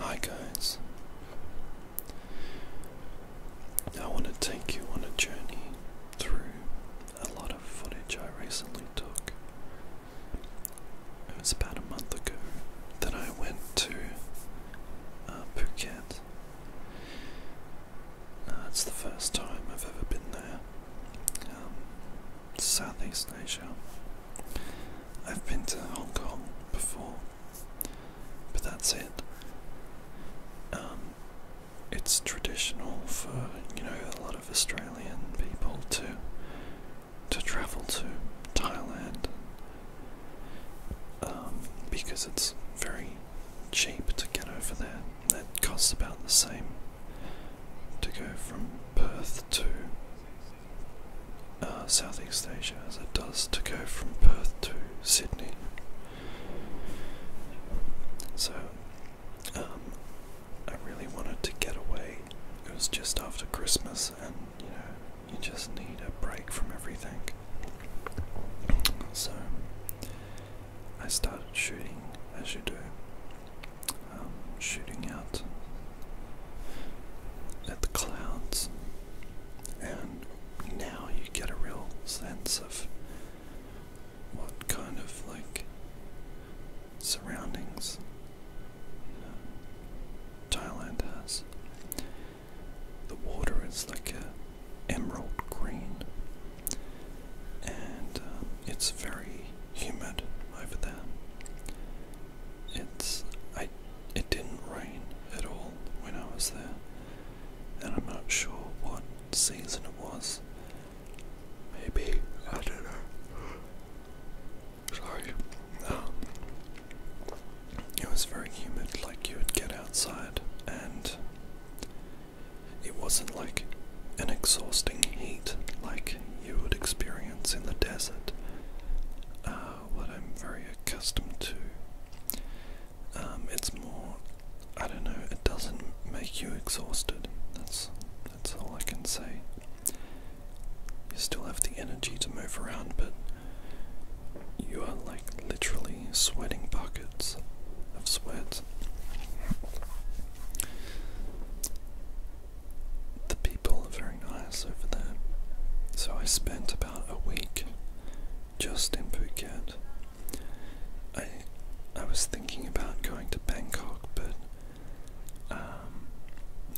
Hi, guys. I want to take you on a journey through a lot of footage I recently took. It was about a month ago that I went to uh, Phuket that's the first time I've ever been there. Um, Southeast Asia. I've been to Hong Kong before, but that's it. Um, it's traditional for you know a lot of Australian people to to travel to Thailand um, because it's very cheap to get over there. It costs about the same to go from Perth to uh, Southeast Asia as it does to go from Perth to Sydney. So um, I really wanted to get away. It was just after Christmas, and you know, you just need a break from everything. So I started shooting as you do, um, shooting out at the clouds, and now you get a real sense of what kind of like surroundings Thailand has. The water is like a emerald green, and um, it's very humid over there. It's I it didn't rain at all when I was there, and I'm not sure what season it was. Maybe I don't know. Sorry. Um, it was very humid, like you would get outside and it wasn't like an exhausting heat like you would experience in the desert, uh, what I'm very accustomed to. Um, it's more, I don't know, it doesn't make you exhausted. That's that's all I can say. You still have the energy to move around, but you are like literally sweating buckets of sweat. The people are very nice over there. So I spent about a week just in Phuket. I I was thinking about going to Bangkok, but um,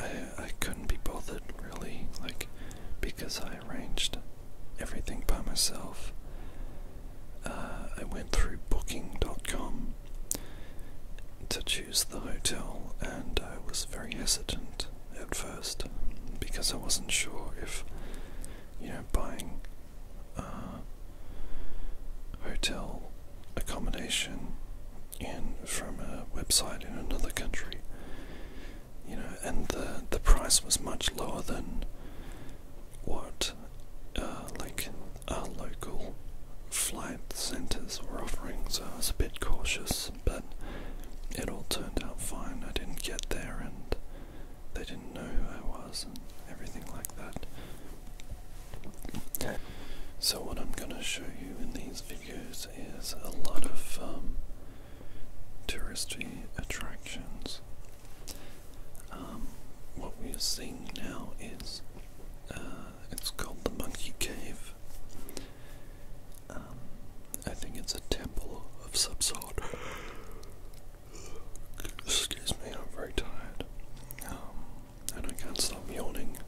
I I couldn't be bothered really, like because I I arranged everything by myself. Uh, I went through booking.com to choose the hotel, and I was very hesitant at first because I wasn't sure if, you know, buying uh, hotel accommodation in from a website in another country, you know, and the the price was much lower than what uh, like our local flight centers were offering, so I was a bit cautious, but it all turned out fine. I didn't get there, and they didn't know who I was, and everything like that. So, what I'm going to show you in these videos is a lot of um, touristy attractions um, what we're seeing now is uh, it's called the Monkey Cave. Um, I think it's a temple of some sort. Excuse me, I'm very tired. Um, and I can't stop yawning.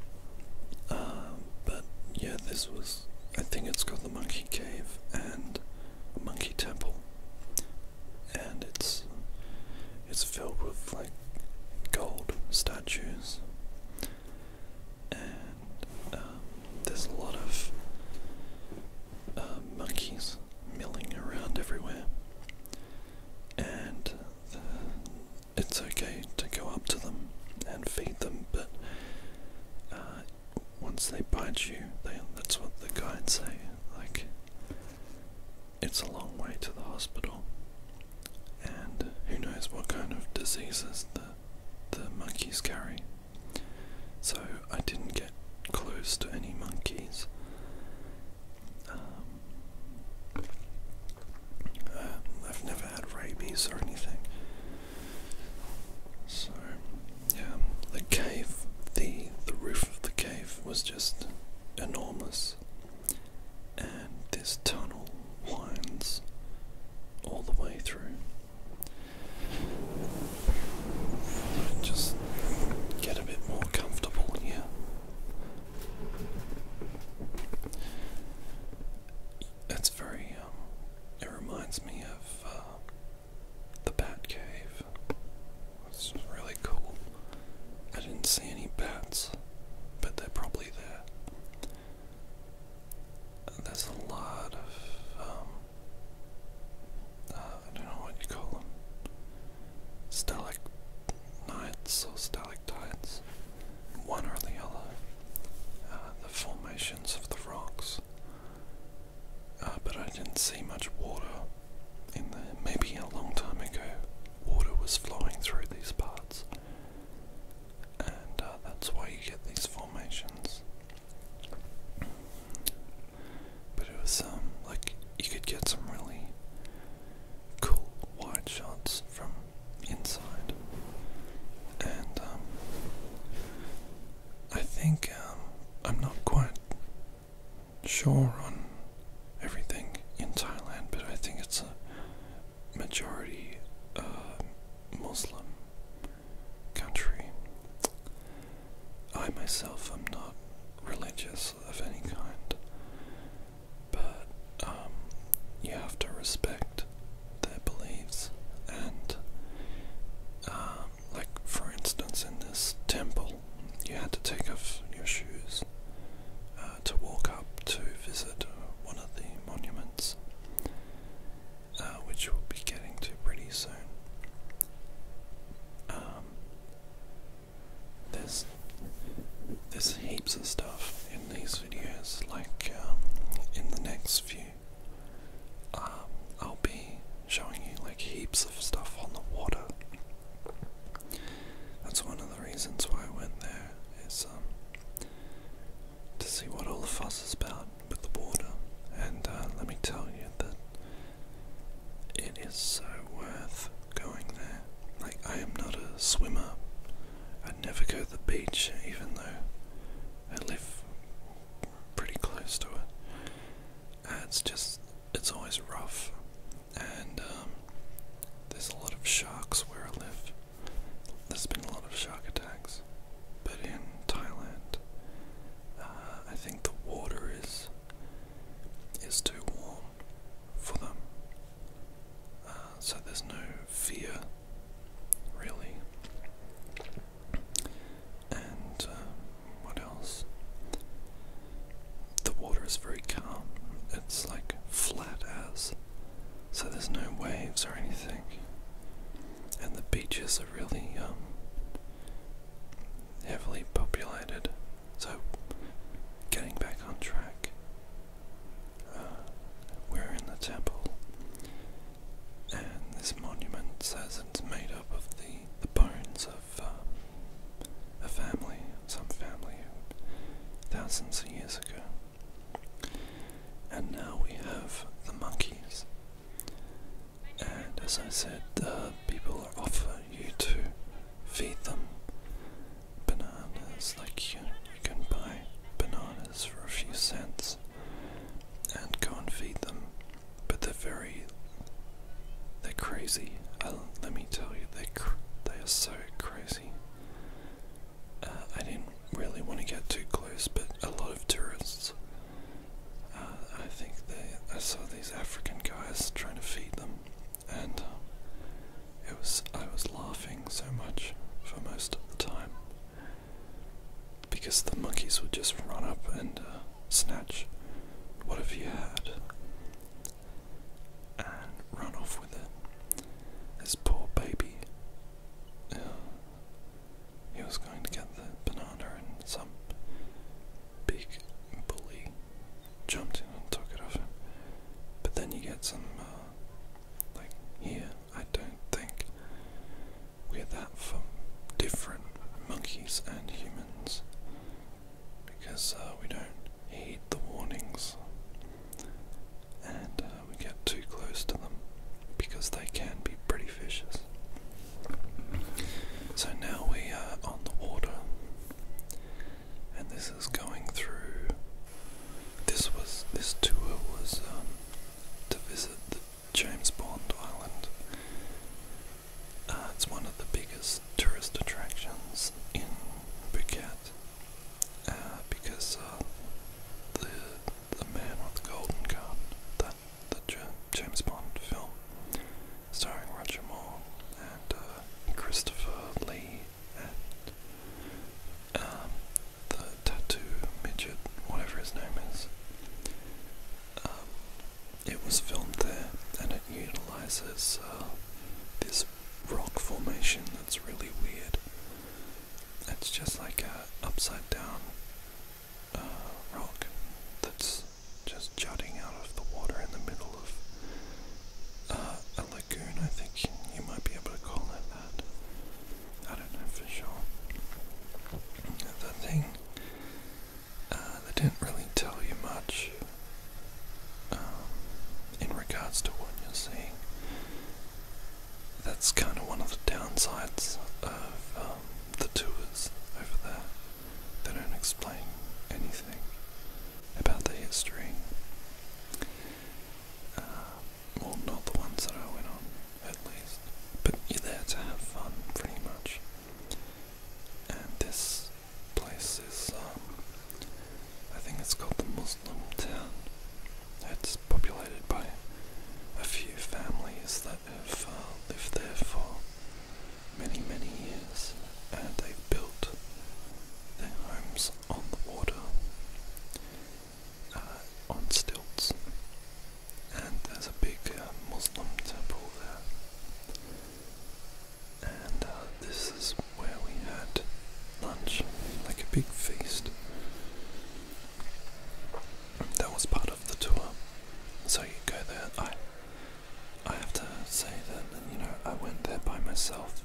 but yeah, this was. I think it's called the Monkey Cave and Monkey Temple and it's it's filled with like gold statues and um, there's a lot of uh, monkeys milling around everywhere and uh, it's okay to go up to them and feed them but uh, once they bite you, they, that's what the guides say. Like, it's a long way to the hospital, and who knows what kind of diseases the the monkeys carry. So I didn't get close to any monkeys. Um, uh, I've never had rabies or anything. So um, the cave, the the roof of the cave was just enormous, and this tunnel winds all the way through. Just get a bit more comfortable here. It's very. Um, it reminds me of uh, the bat cave. It's really cool. I didn't see any bats, but they're probably there. There's a lot of, um, uh, I don't know what you call them, stalagmites or stalactites, one or the other, uh, the formations of the rocks. Uh, but I didn't see much water in there. Maybe a long time ago, water was flowing through these parts, and uh, that's why you get these formations. But it was um like you could get some really cool wide shots from inside, and um, I think um, I'm not quite sure on everything in Thailand, but I think it's a majority uh, Muslim country. I myself am not religious of any kind, but um, you have to respect their beliefs and. Um, like, for instance, in this temple you had to take off your shoes uh, to walk up to visit one of the monuments, uh, which we'll be getting to pretty soon. Um, there's there's heaps of stuff in these videos. Like um, in the next few, um, I'll be showing you like heaps of stuff on the water. That's one of the reasons why I went there is um, to see what all the fuss is about with the water. And uh, let me tell you that it is so worth going there. Like I am not a swimmer. I would never go to the beach even though I live pretty close to it. Uh, it's just it's always rough, and um, there's a lot of sharks where I live. There's been a lot of shark attacks, but in Thailand, uh, I think the water is is too warm for them, uh, so there's no fear really and uh, what else? The water is very calm, it's like flat as, so there's no waves or anything. And the beaches are really um, heavily populated, so getting back on track. Uh, we're in the temple, and this monument says it's made up of the, the bones of uh, a family, some family, thousands of years ago. And now we have the monkeys. And as I said, the people offer you to feed them bananas, like you, you can buy bananas for a few cents and go and feed them. But they're very. They're crazy. Uh, let me tell you, they cr they are so crazy. Uh, I didn't really want to get too close, but a lot of tourists. Uh, I think they. I saw these African guys trying to feed them, and it was. I was laughing so much for most of the time because the monkeys would just run up and snatch What have you had and run off with it. This poor baby, uh, he was going to get the banana, and some big bully jumped in and took it off him. But then you get some, uh, like, here, I don't think we're that from different monkeys and humans because uh, we don't heed the warnings and uh, we get too close to them because they can be pretty vicious. So now we are on the water, and this is going through. This was this tour was um, to visit the James Bond Island, uh, it's one of the biggest tourist attractions in Phuket uh, because uh, the the man with the golden gun, that the James Bond film starring Roger Moore and Christopher Lee and um, the tattoo midget, whatever his name is. Um, it was filmed there and it utilizes uh, this rock formation that's really weird. It's just like an upside down uh, rock that's just jutting out of the water in the middle of uh, a lagoon, I think you might be able to call it that. I don't know for sure. The thing uh, they didn't really tell you much um, in regards to what you're seeing. That's kind of one of the downsides of um, the tours over there. They don't explain anything about the history. Uh, well, not the ones that I went on, at least. But you're there to have fun, pretty much. And this place is, um, I think it's called the Muslim town. It's populated by a few families that have uh, lived there for many, many years, and they've built their homes on the water, uh, on stilts, and there's a big uh, Muslim temple there and uh, this is where we had lunch, like a big feast. That was part of the tour, so you go there. I, I have to say that you know I went there by myself,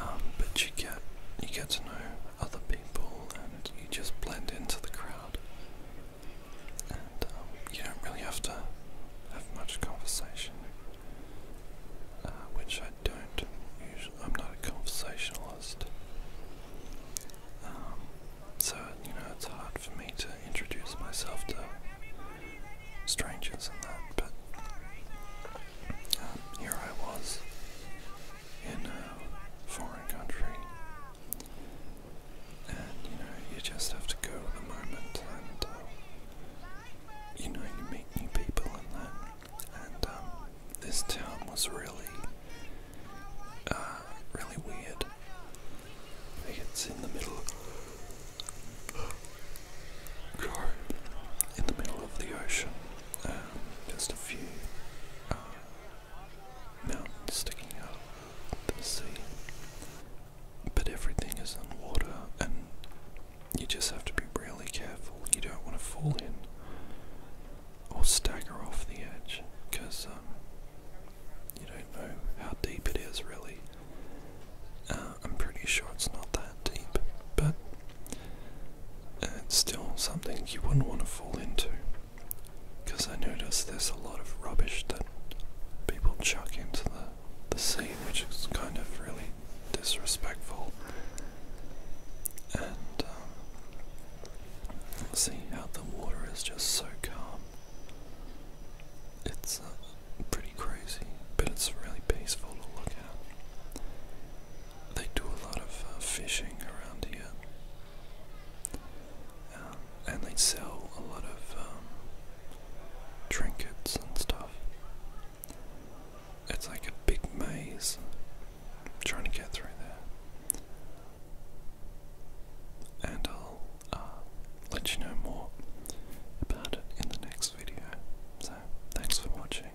um, but you get you get to know other people and you just blend into the crowd. Um, you don't really have to have much conversation, uh, which I don't. Usually, I'm not a conversationalist, um, so you know it's hard for me to introduce myself to strangers and that. But um, here I was in a foreign country and you know you just have to go with the moment and uh, you know you meet new people and then and um, this town was really uh, really weird it's in the middle in the middle of the ocean um, just a few uh, mountains sticking out of the sea but everything is in water, and you just have to be really careful. You don't want to fall in or stagger off the edge because um, you don't know how deep it is, really. Uh, I'm pretty sure it's not that deep, but it's still something you wouldn't want to fall into. Because I notice there's a lot of rubbish that people chuck into the the scene, which is kind of really disrespectful. And um, see how the water is just so calm. It's uh, pretty crazy, but it's really peaceful to look at. They do a lot of uh, fishing around here, um, and they sell a lot of um, trinkets and stuff. It's like a big maze. I'm trying to get through there. And I'll uh, let you know more about it in the next video. So, thanks for watching.